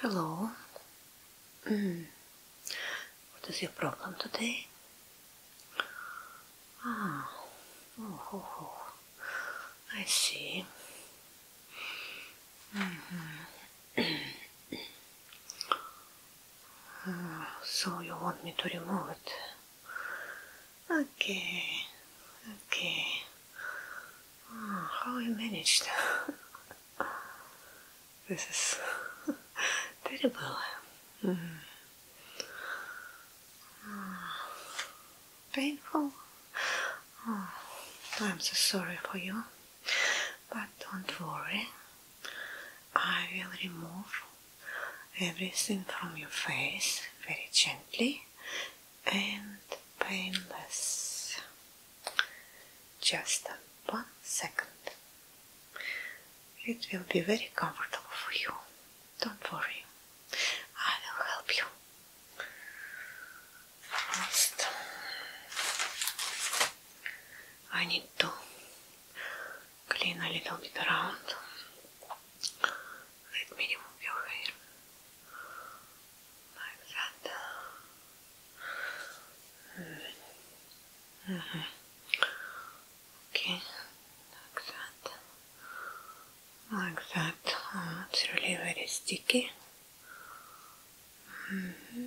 Hello. Mm. What is your problem today? Ah, oh, oh, oh. I see. Mm-hmm. so you want me to remove it? Okay, okay. how you managed? this is terrible. painful. I'm so sorry for you, but don't worry. I will remove everything from your face very gently and painless. Just one second. It will be very comfortable for you. Don't worry. I will help you. First, I need to clean a little bit around. Let me your hair like that. Mm-hmm. Mm-hmm. Okay, like that, like that. Uh, it's really very sticky. Mm-hmm.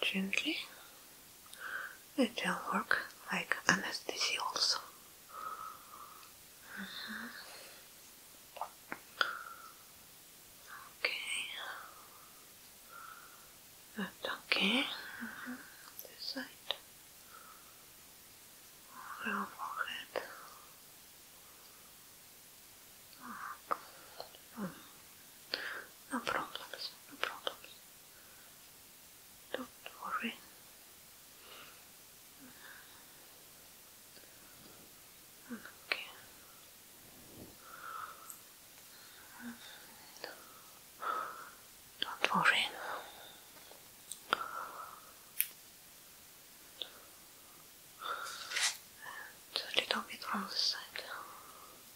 gently. It will work like anesthesia also. Mm-hmm. Okay. okay. Mm-hmm. This side. forehead. Mm-hmm. No problems. No problems. Don't worry. Okay. Don't worry. And a little bit from the side.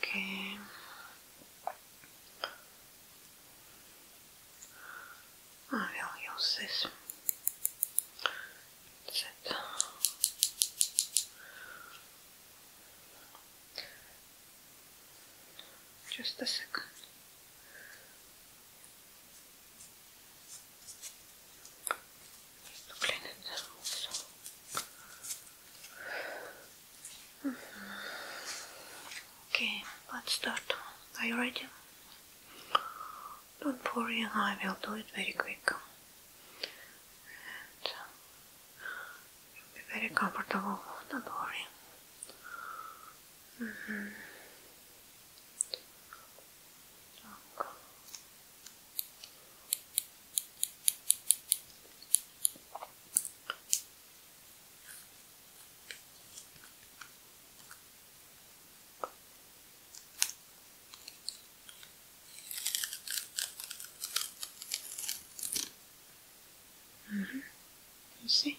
Okay. I will use this. Just a second. Okay, let's start. Are you ready? Don't worry, I will do it very quick. Uh, you'll be very comfortable, don't worry. Mm-hmm. Mm -hmm. You see?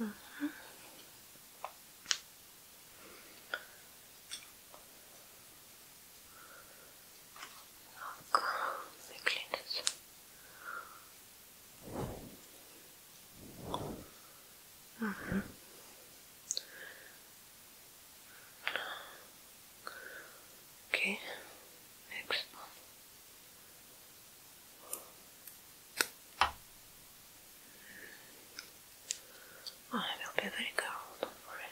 Mm -hmm. Och cyklinus. Mm -hmm. Okay, next ah, I will be very careful, don't worry.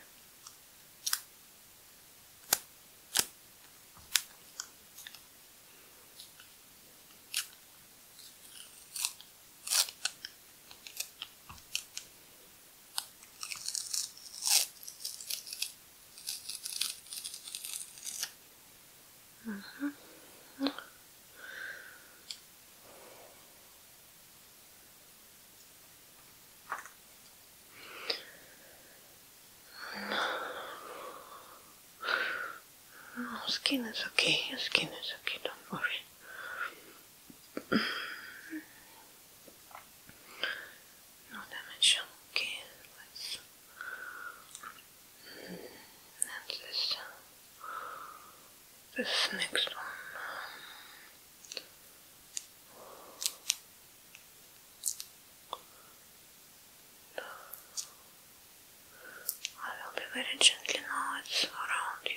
Mm -hmm. No, skin is okay. Your skin is okay. Don't worry no damage, okay, let's... And this, uh, this next one. I will be very gently now, it's around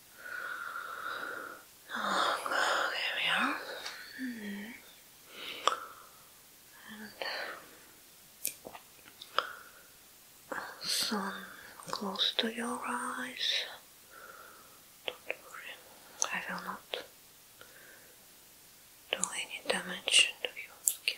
Oh, there we are. Mm close to your eyes. I will not do any damage to your skin.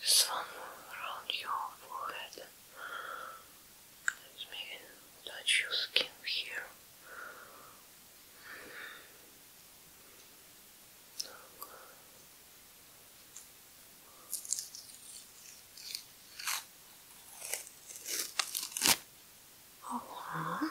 Just one around your forehead. Let me touch your skin here. Oh,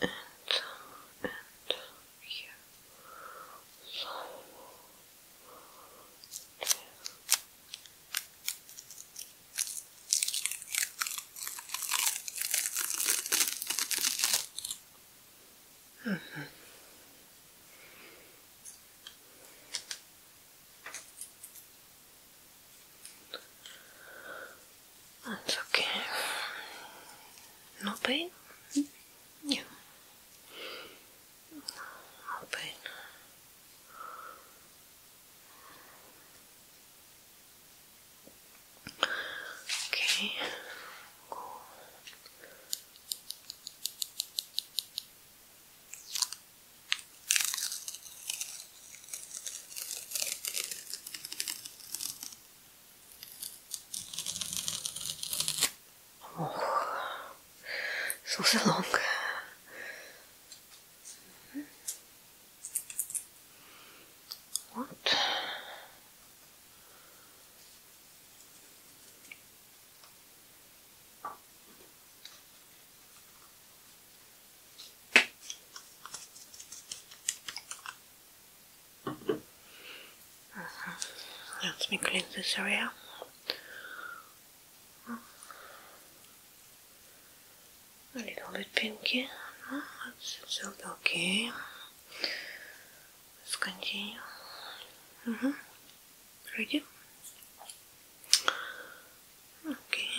and and here. So, yeah. Mm -hmm. That's okay. No pain? Yeah. No pain. Okay. Oh, so, so long. What? Let me clean this area. A little bit pinky. No, it's, okay. Let's continue. Mm -hmm. Ready? Okay.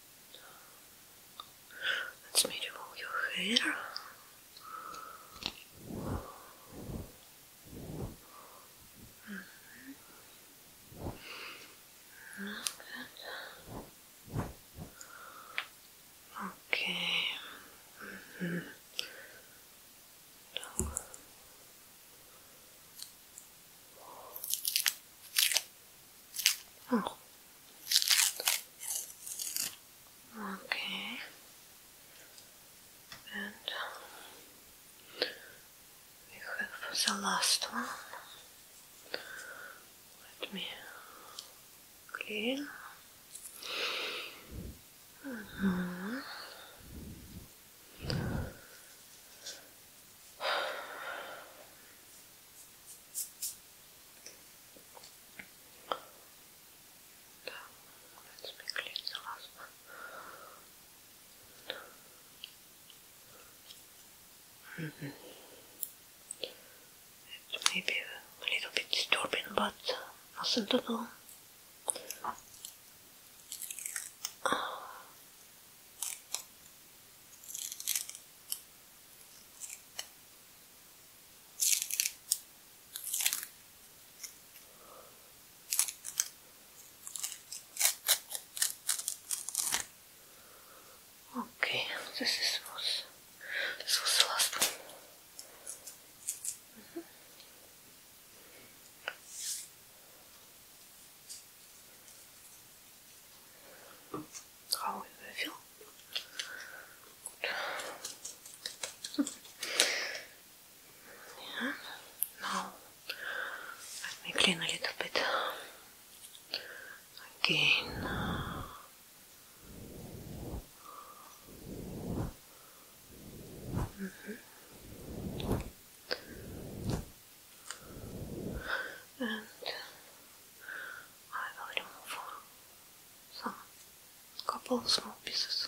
Let's me roll your hair. Mm -hmm. Okay. Mm-hmm. Oh. Okay. And we have the last one. Let me clean. Mm-hmm. It's maybe a little bit disturbing, but nothing at all. Okay, this is was was the last one. How will I feel? Good. yeah. Now let me clean a little bit again. Mm-hmm. And I will remove some couple of small pieces.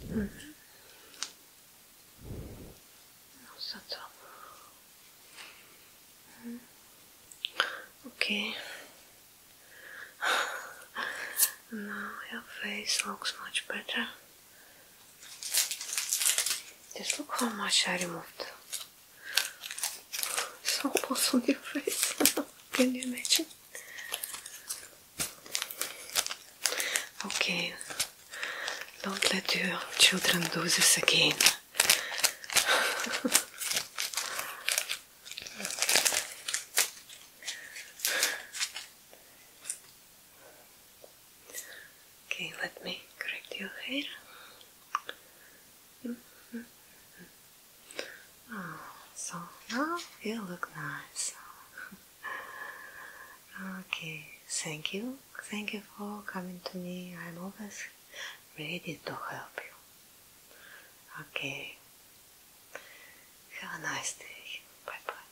Yes. -hmm. so, so. Mm Okay. Now your face looks much better. Just look how much I removed. It's almost on your face. Can you imagine? Okay, don't let your children do this again. Okay, let me correct your hair. Mm-hmm. Oh, so now you look nice. okay, thank you. Thank you for coming to me. I'm always ready to help you. Okay. Have a nice day. Bye bye.